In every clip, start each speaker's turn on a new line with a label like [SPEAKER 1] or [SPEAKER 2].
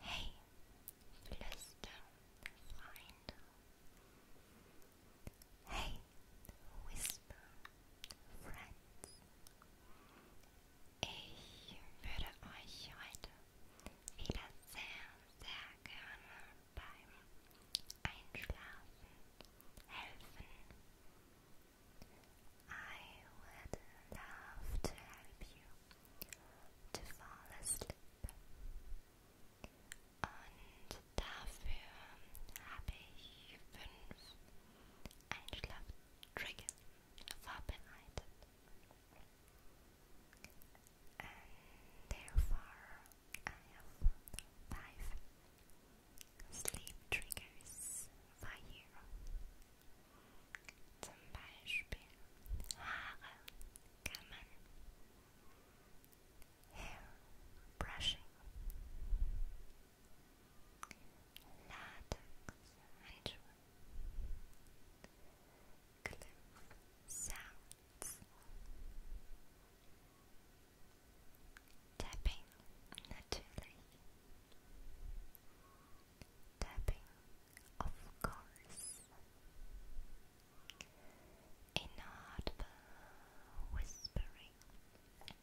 [SPEAKER 1] Hey, Flüsterfreunde. Hey, Whisper-Friends. Ich würde euch heute wieder sehr, sehr gerne beim Einschlafen helfen. I would love to help you to fall asleep. Und dafür habe ich fünf Einschlaftrigger vorbereitet. therefore, I have five sleep triggers for you. Zum Beispiel Haare kämmen, Hair brushing, Latex Handschuhe, Clip Tapping natürlich tapping, of course. Inaudible whispering und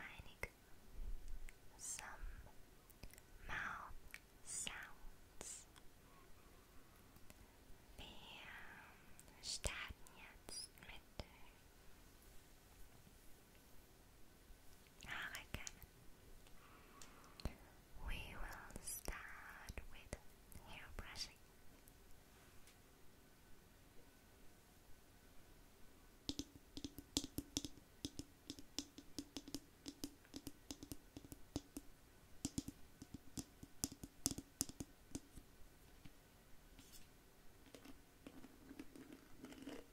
[SPEAKER 1] einige some mouth sounds. Wir starten jetzt mit hurricane. We will start with hair brushing.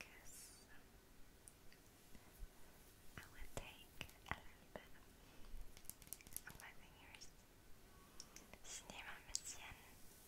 [SPEAKER 1] guess I will take a little bit of my fingers. Cinéma Messienne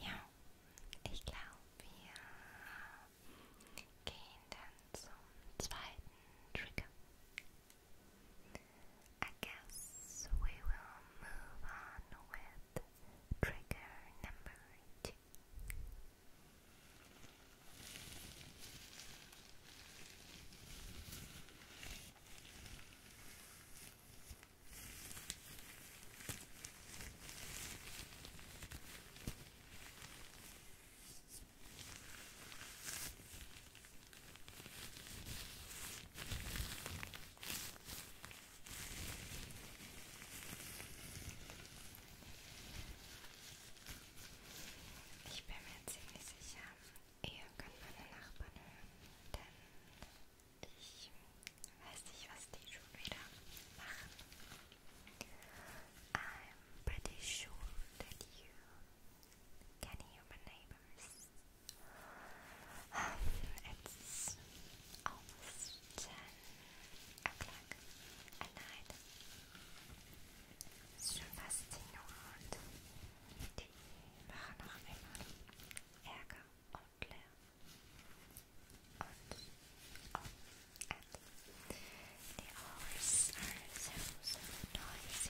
[SPEAKER 1] Ja, ich glaube, wir gehen dann zum zweiten Trigger. I guess we will move on with trigger number two. Ich bin mir ziemlich sicher, ihr könnt meine Nachbarn hören, denn ich weiß nicht, was die schon wieder machen. I'm pretty sure that you can hear my neighbors. It's almost 10 o'clock at night. Es ist schon fast 10 Uhr und die machen noch immer Ärger And, oh, the hours are so noisy.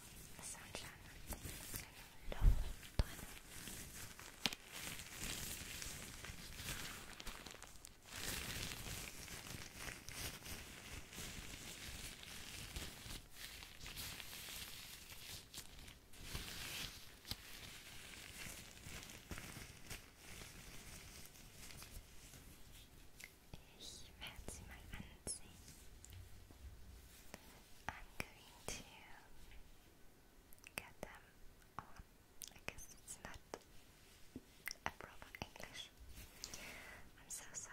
[SPEAKER 1] ist so ein kleiner Loch drin. Ich werde sie mal anziehen. I'm going to get them I guess it's not a proper English. I'm so sorry.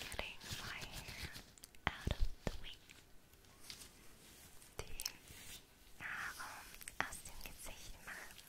[SPEAKER 1] Getting my hair out of the way. Die Nahrung aus dem Gesicht machen.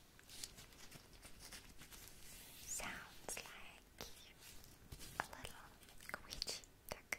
[SPEAKER 1] Sounds like a little witchy duck.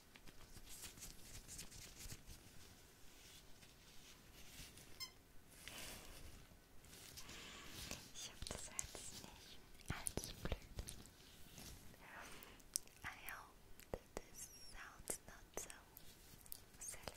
[SPEAKER 1] Ich hab das Herz nicht. Als blöd. I hope this sounds not so silly.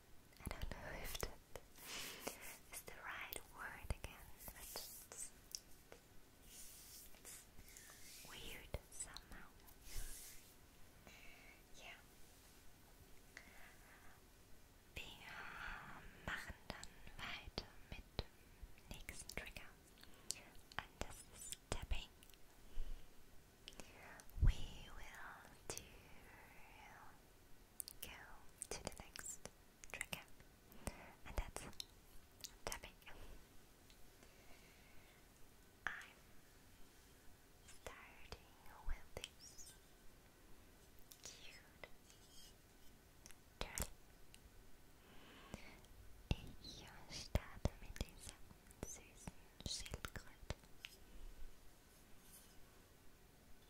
[SPEAKER 1] I don't know if that is the right word again, but it's, weird somehow. Yeah. Wir machen dann weiter mit nächsten Trigger. And this is tapping. We will do go to the next trigger, and that's tapping. I'm starting with this cute turtle. Ich starte mit dieser süßen Schildkröte.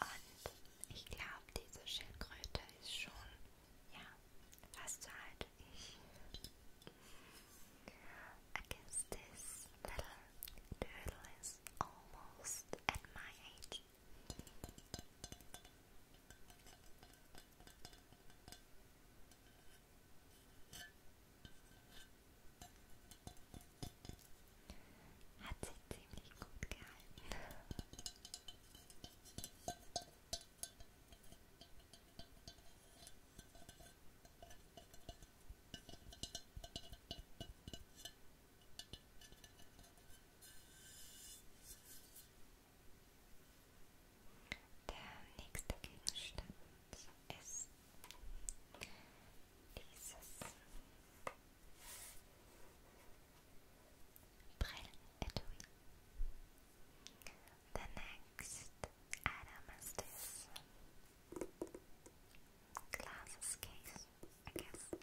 [SPEAKER 1] Und ich glaube, diese Schildkröte ist schon, ja, fast so alt Against this little doodle is almost at my age. Hat sich ziemlich gut gehalten. Der nächste Gegenstand ist dieses Brillenetui. The next item is this glasses case, I guess.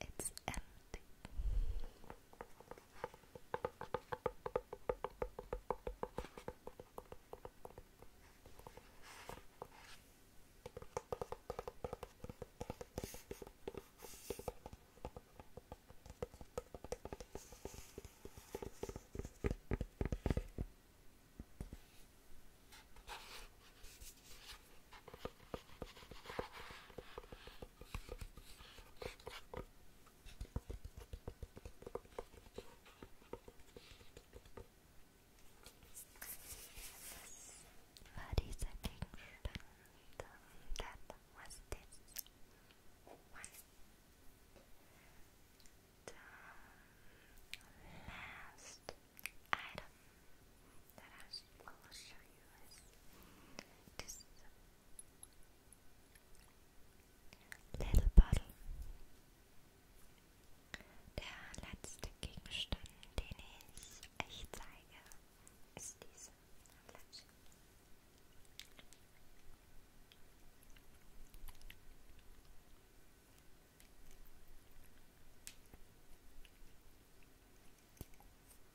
[SPEAKER 1] It's empty. What is a Kingston? That was The last item that I will show US. This little bottle. Der letzte Gegenstand, den ich euch zeige, ist diese Flasche.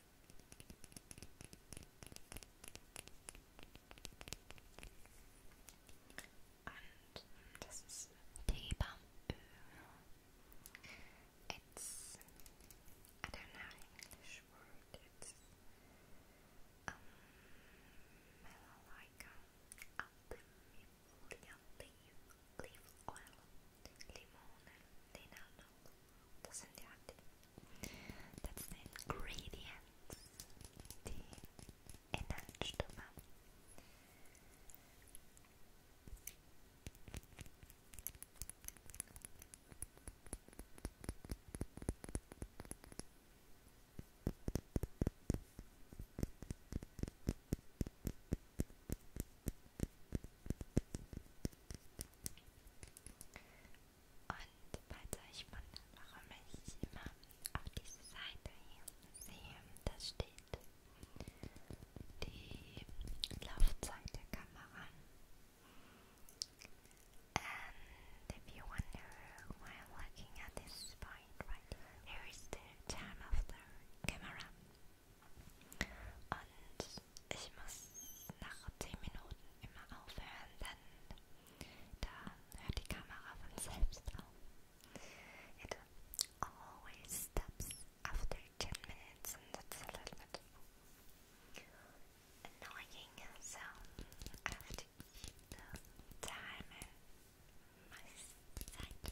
[SPEAKER 1] And this is It's I don't know English word. It's um like Albumifolia leaf, leaf oil, limone, linalool, doesn't that? That's the ingredients. Die Inhaltsstoffe. Und falls euch wundert, warum ich immer auf diese Seite hier sehe, da steht die Laufzeit der Kamera. And if you wonder why I'm looking at this point right here, here is the time of the camera. Und ich muss nach 10 Minuten immer aufhören, denn da hört die Kamera von selbst auf. It always stops after 10 minutes and that's a little bit annoying, so I have to keep the time and my sight.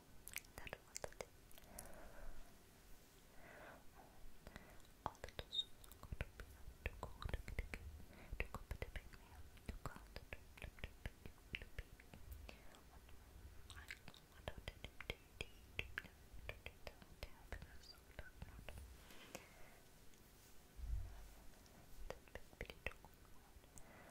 [SPEAKER 1] 날 원하는 어느덧 숨은 걸음이나 두고 오르게 되게 두고 부드백매야 누가 어느덧 눕눕눕눕눕눕 I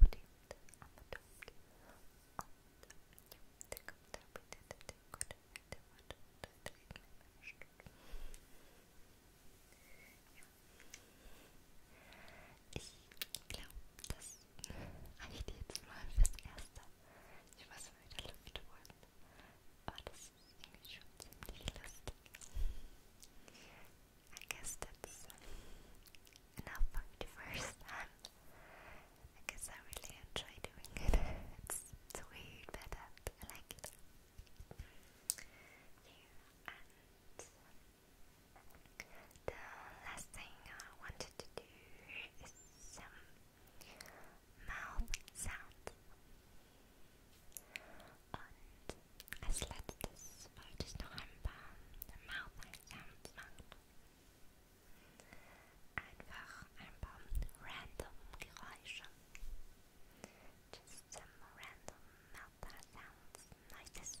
[SPEAKER 1] put it on the top of the computer with the decoder and the water to treat my moisture. Ich glaube, das habe ich dir jetzt mal fürs Erste. Ich weiß nicht, wie der Luft wurde. Aber das ist irgendwie schon ziemlich lustig. I guess that's enough for the first time. I guess I really enjoy doing it. it's, weird, but I like it. the last thing I wanted to do is some mouth sound. als letztes wollte ich noch ein paar Mouth sounds machen. Einfach ein Just some random meltdown sounds, noises.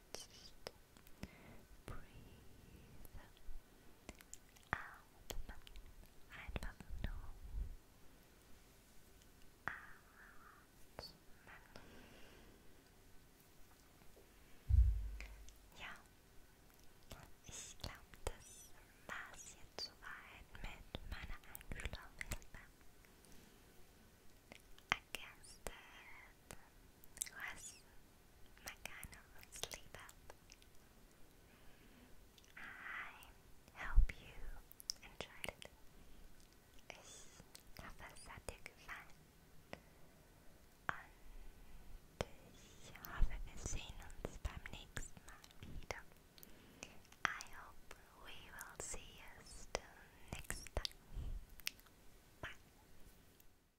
[SPEAKER 1] Just breathe. Atmen. Einfach nur. Atmen. Ja. Ich glaube, das war es jetzt soweit mit meiner Einschlafhilfe. I guess that was my kind of sleep I hope you enjoyed it. Ich hoffe, es hat dir gefallen. Und ich hoffe, wir sehen uns beim I hope we will see you still next time. Bye.